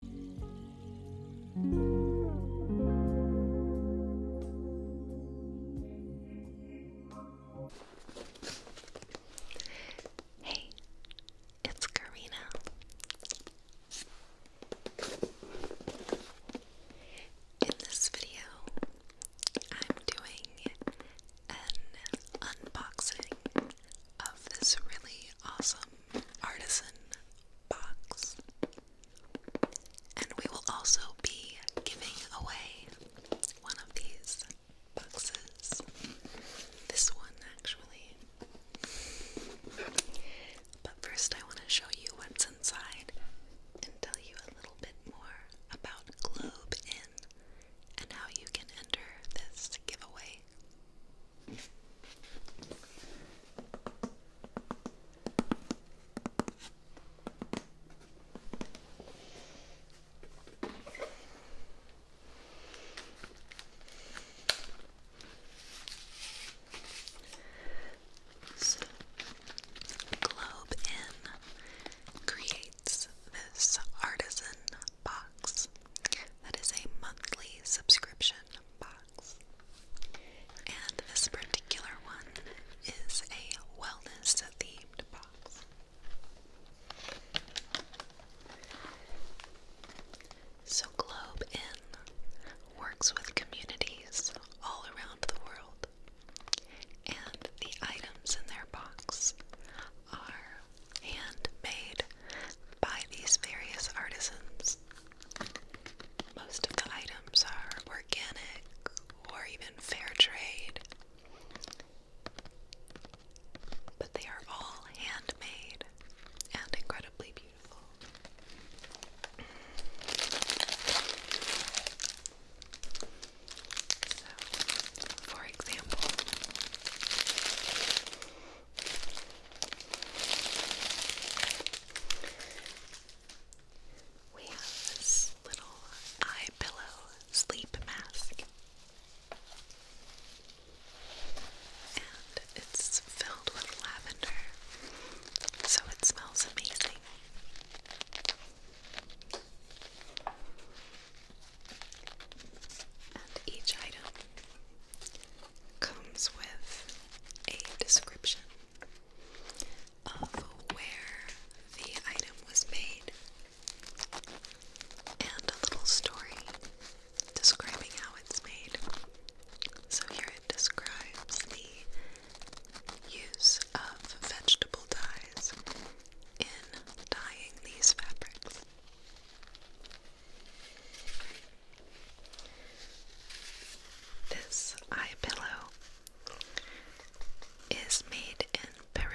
Hey, it's Karina. In this video, I'm doing an unboxing of this really awesome artisan box. And we will also be giving away one of these boxes. This one, actually. But first, I want to show you what's inside and tell you a little bit more about Globe Inn and how you can enter this giveaway so, Globe Inn creates this artisan box that is a monthly subscription box. And this particular one is a wellness themed box. So, Globe In works with communities all around the world, and the items in their box are hand-made by these various artisans most of the items are organic or even fair trade, but they are all handmade and incredibly beautiful. for example, we have this little eye pillow sleep mask. And it's filled with lavender, so it smells amazing. And each item comes with a description of where the item was made and a little story describing how it's made. So here it describes the use of vegetable dyes in dyeing these fabrics. This eye pillow is made in Peru.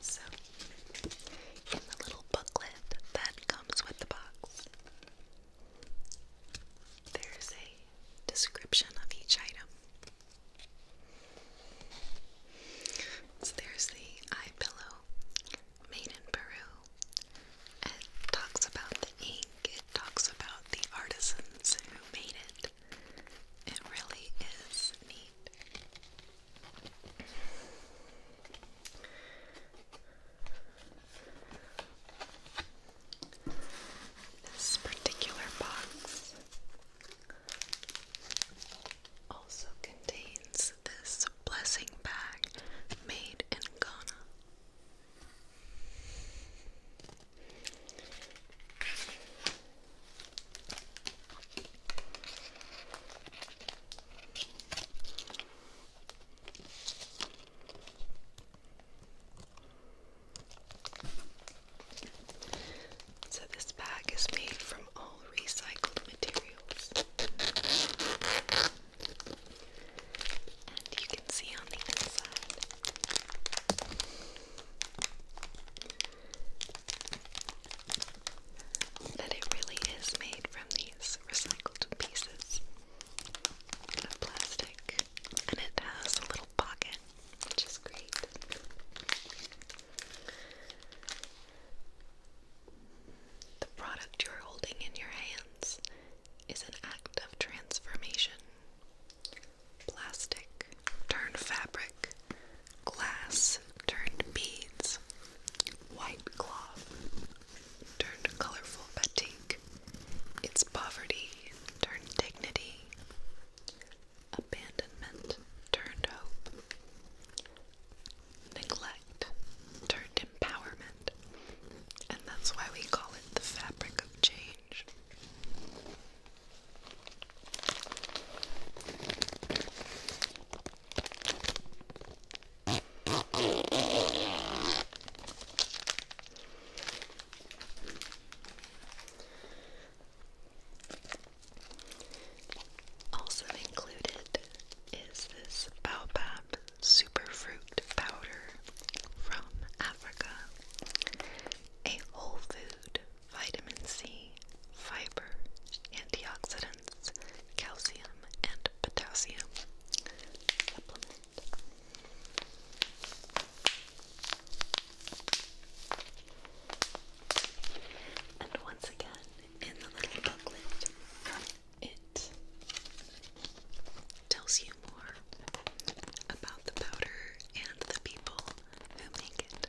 So in the little booklet that comes with the box. There's a description of each item. So there's the eye pillow made in Peru. It talks about the ink, it talks about the artisans who made it. It really is neat. This particular box also contains this blessing bag made in Ghana. So, this bag is made from all recycled materials. And you can see on the inside that it really is made from these recycled pieces of plastic, and it has a little pocket, which is great. The product you're holding in your hands is an act of transformation. Plastic turned fabric glass turned beads, white cloth turned colorful batik, its poverty turned dignity, abandonment turned hope, neglect turned empowerment, and that's why we call it the fabric of change. Also included is this baobab superfruit powder from Africa, a whole food vitamin C, fiber, antioxidants, calcium, and potassium. Supplement. And once again, in the little booklet, it tells you more about the powder and the people who make it.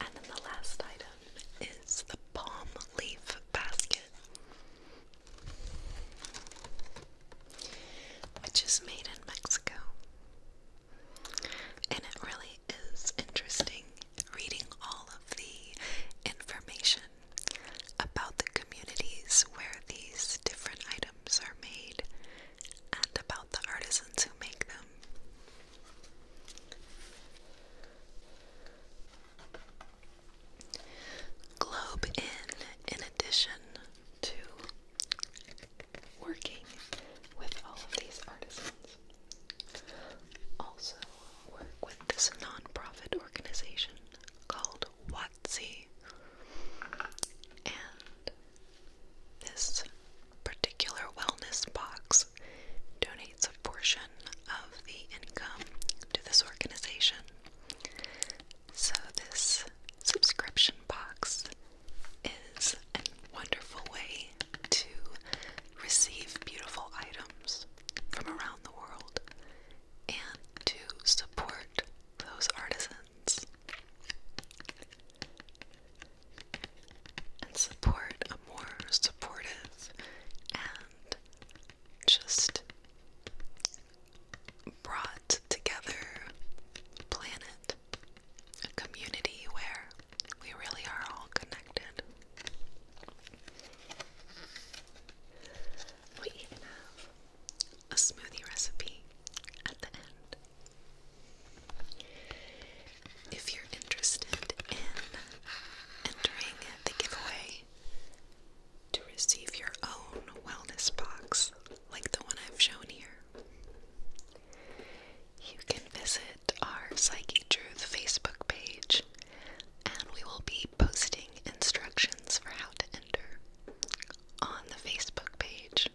And then the last item is the palm leaf basket which is made in Mexico. And it really is interesting reading all of the information about the communities where these different items are made and about the artisans who make them. Globe in, in addition to working with all of these artisans, also work with this nonprofit organization called WOTC. And this particular wellness box donates a portion of the income to this organization. So, this subscription box is a wonderful way to receive beautiful items from around the world and to support those artisans and support a more supportive and just brought together a planet, community where we really are all connected. We have a smoothie recipe at the end. If you're interested in entering the giveaway, to receive your own wellness box like the one I've shown here. You can visit our Psyche Truth Facebook page and we will be posting instructions for how to enter on the Facebook page.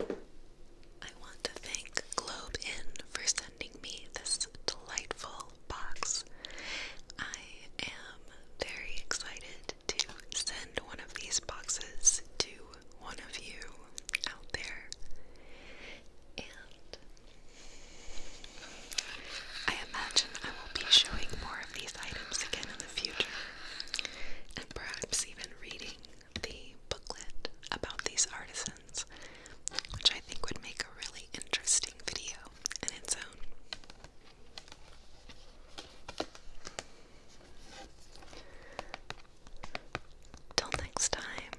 I want to thank Globe Inn for sending me this delightful box. I am very excited to send one of these boxes to one of you out there. And I imagine I will be showing more of these items again in the future, and perhaps even reading the booklet about these artisans which I think would make a really interesting video in its own. Till next time,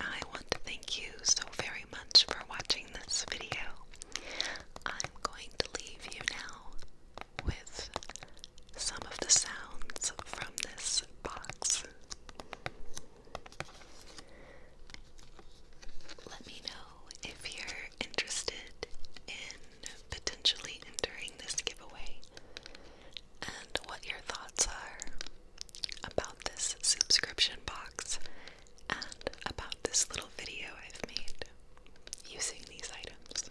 I want to thank you so very much for watching this video. I'm going to leave you now with some of the sounds from this box. Let me know if you're interested in potentially entering this giveaway and what your thoughts are about this subscription box and about this little video I've made using these items.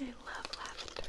I love lavender.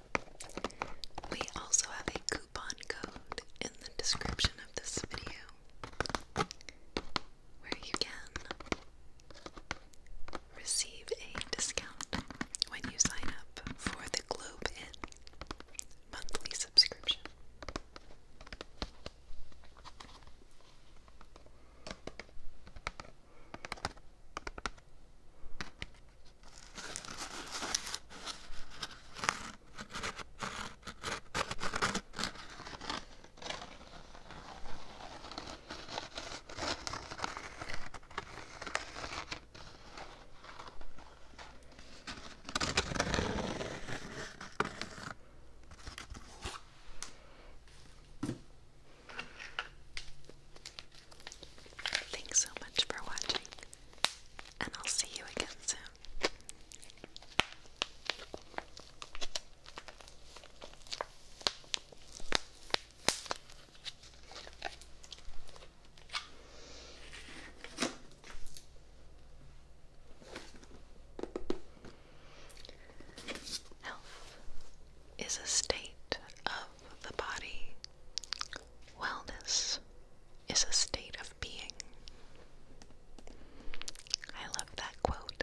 We also have a coupon code in the description of this video where you can receive a discount when you sign up for the Globe Inn monthly subscription. Thanks so much for watching and I'll see you again soon. Health is a state of the body Wellness is a state of being. I love that quote.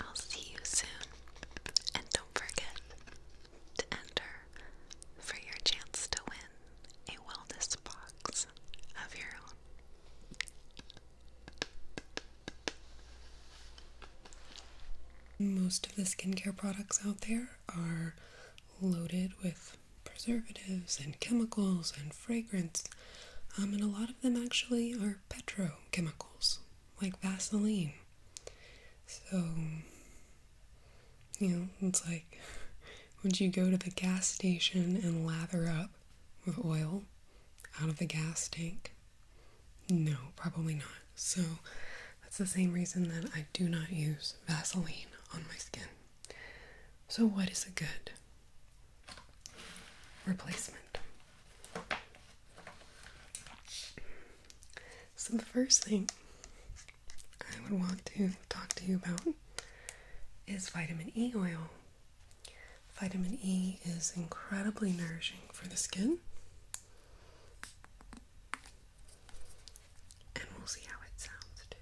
I'll see you soon, and don't forget to enter for your chance to win a wellness box of your own. Most of the skincare products out there are loaded with preservatives and chemicals and fragrance, um, and a lot of them actually are petrochemicals like Vaseline. So, you know, it's like, would you go to the gas station and lather up with oil out of the gas tank? No, probably not. So, that's the same reason that I do not use Vaseline on my skin. So, what is a good replacement? So, the first thing I would want to talk to you about is vitamin E oil. Vitamin E is incredibly nourishing for the skin and we'll see how it sounds too.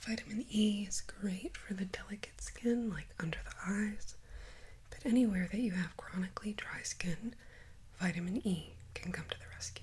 Vitamin E is great for the delicate skin, like under the eyes, but anywhere that you have chronically dry skin, vitamin E can come to the rescue.